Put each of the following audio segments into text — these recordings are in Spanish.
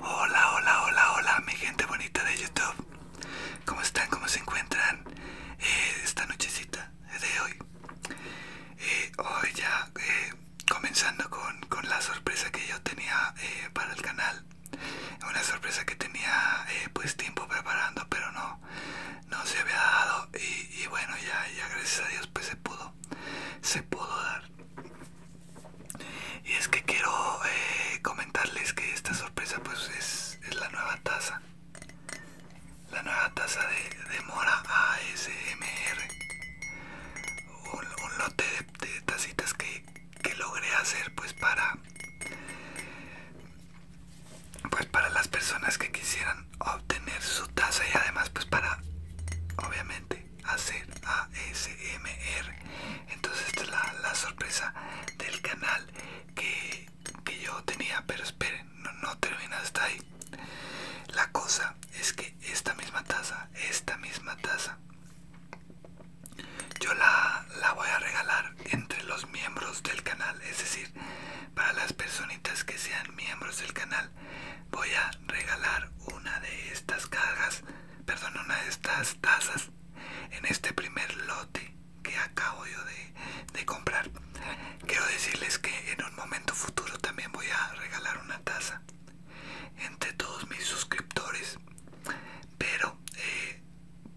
Hola, hola, hola, hola, mi gente bonita de YouTube. ¿Cómo están? ¿Cómo se encuentran eh, esta nochecita de hoy? Eh, hoy ya eh, comenzando con, la sorpresa que yo tenía para el canal. Una sorpresa que tenía pues tiempo preparando, pero no, no se había dado. Y, y bueno, ya, ya gracias a Dios pues se pudo. Se pudo dar. Y es que quiero eh, comentarles que esta sorpresa pues es, la nueva taza. La nueva taza de, Mora ASMR. Un, un lote de, tazitas tacitas que, que logré hacer pues para... Pues para las personas que quisieran obtener su taza y además pues para obviamente hacer ASMR. Entonces esta es la, sorpresa del canal que, que yo tenía. Pero esperen, no, no termina hasta ahí. La cosa es que esta misma taza, esta misma taza, yo la, la voy a regalar entre los miembros del canal. Es decir, para las personitas que sean miembros del canal voy a regalar una de estas cargas, perdón una de estas tazas en este primer lote que acabo yo de, comprar quiero decirles que en un momento futuro también voy a regalar una taza entre todos mis suscriptores pero eh,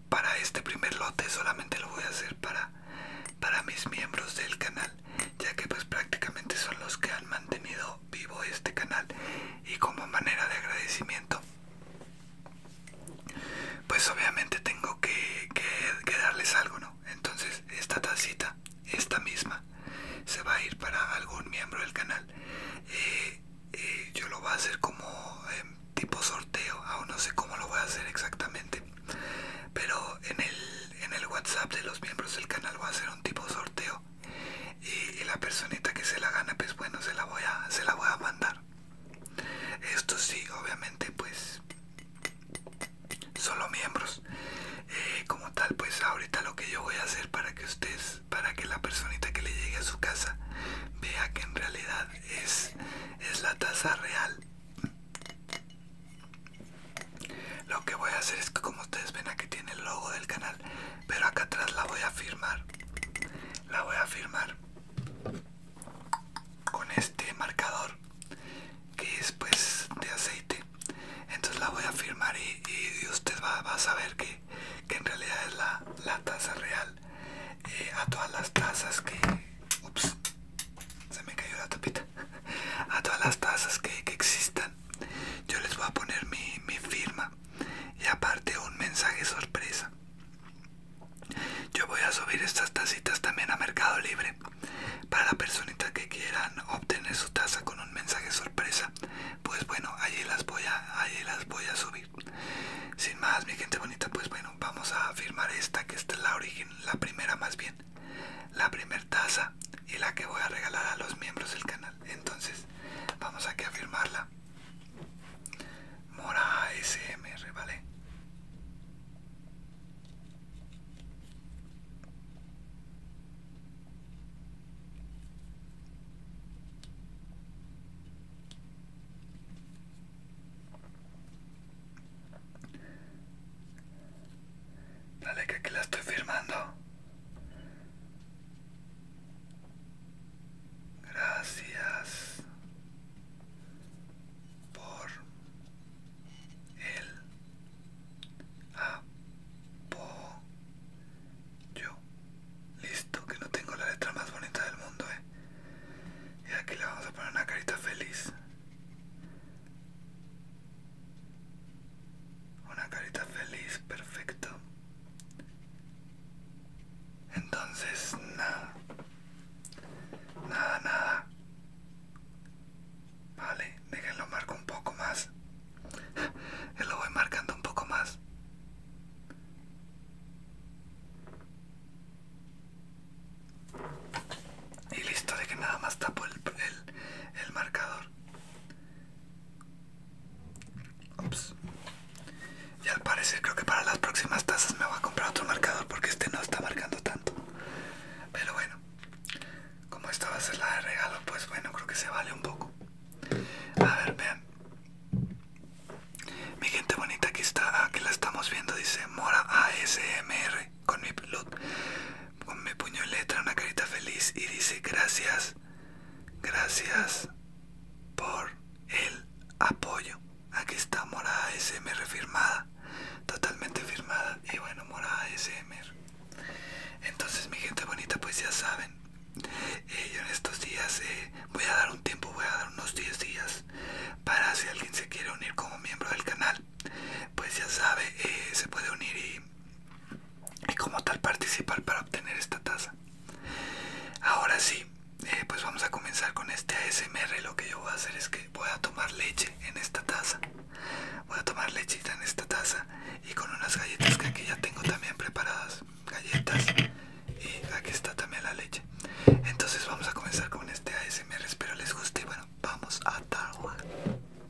para este primer lote solamente lo voy a hacer para para mis miembros del canal ya que pues prácticamente son los que han mantenido vivo este canal y como manera de agradecimiento pues obviamente tengo que, darles algo no entonces esta tacita esta misma se va a ir para algún miembro del canal eh, eh, yo lo voy a hacer como em, tipo sorteo aún no sé cómo lo voy a hacer exactamente pero en el en el WhatsApp de los miembros del canal va a hacer un tipo sorteo y, la personita que se la gana pues bueno se la voy a se la voy a mandar esto sí obviamente pues solo miembros eh, como tal pues ahorita lo que yo voy a hacer para que ustedes para que la personita que le llegue a su casa vea que en realidad es es la tasa real lo que voy a hacer es que como ustedes ven aquí tiene el logo del canal, pero acá atrás la voy a firmar. La voy a firmar con este marcador que es pues de aceite. Entonces la voy a firmar y, usted va, a saber que, que en realidad es la, la taza real. Eh, a todas las tazas que... Ups, se me cayó la tapita. A todas las tazas que existan yo les voy a poner mi, firma y aparte un mensaje sorpresa yo voy a subir estas tacitas también a mercado libre para la personita que quieran obtener su taza con un mensaje sorpresa pues bueno allí las voy a las voy a subir sin más mi gente bonita pues bueno vamos a firmar esta que está es la origen la primera más bien la primer taza y la que voy a regalar a los miembros del canal. Entonces, vamos aquí a firmarla. Mora SMR, ¿vale? Dale que aquí la estoy firmando. Gracias por el apoyo. Listo, que no tengo la letra más bonita del mundo, eh. Y aquí le vamos a poner una carita feliz. Una carita feliz, perfecto. Entonces, nada. Nada, nada. Vale, déjenlo marco un poco más. lo voy marcando un poco más. Y listo, de que nada más tapo el, el, marcador. Y al parecer creo que para las próximas tazas me voy a comprar otro marcador porque este no está marcando tanto. Pero bueno, como esta va a ser la de regalo, pues bueno, creo que se vale un poco. A ver, vean. Mi gente bonita, aquí está, aquí la estamos viendo, dice Mora ASMR con mi loot con mi puño en letra, una carita feliz y dice gracias, gracias por el apoyo. Aquí está Morada ASMR firmada, totalmente firmada y bueno, Morada ASMR. Entonces mi gente bonita, pues ya saben, eh, yo en estos días eh, voy a dar un tiempo, voy a dar unos 10 días para si alguien se quiere unir como miembro del canal pues ya sabe eh, se puede unir y, como tal participar para obtener esta taza ahora sí eh, pues vamos a comenzar con este ASMR lo que yo voy a hacer es que voy a tomar leche en esta taza voy a tomar lechita en esta taza y con unas galletas que aquí ya tengo también preparadas galletas y aquí está también la leche entonces vamos a comenzar con este ASMR espero les guste y bueno vamos a trabajar.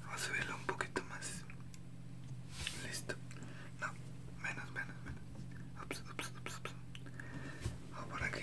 Vamos a subirlo un poquito más. Listo. No, menos, menos, menos. Ups, ups, ups, ups. O por aquí.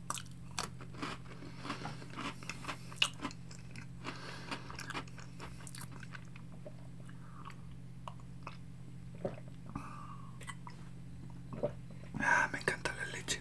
Ah, me encanta la leche.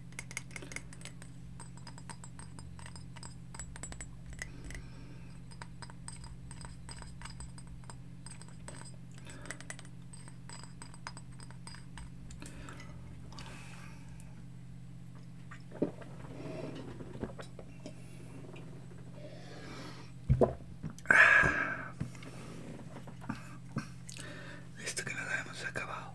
Esto que no la hemos acabado.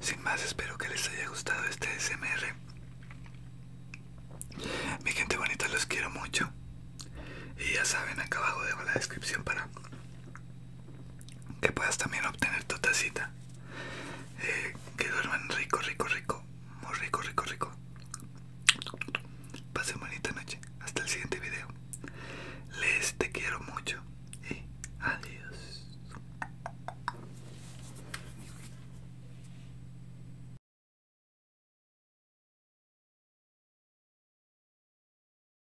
Sin más, espero que les haya gustado este SMR. Mi gente bonita, los quiero mucho. Y ya saben, acá abajo dejo la descripción para que puedas también obtener tu tacita. Eh, que duerman rico, rico, rico. Muy rico, rico, rico. Pasen bonita noche. Hasta el siguiente video. Les te quiero mucho. Y adiós.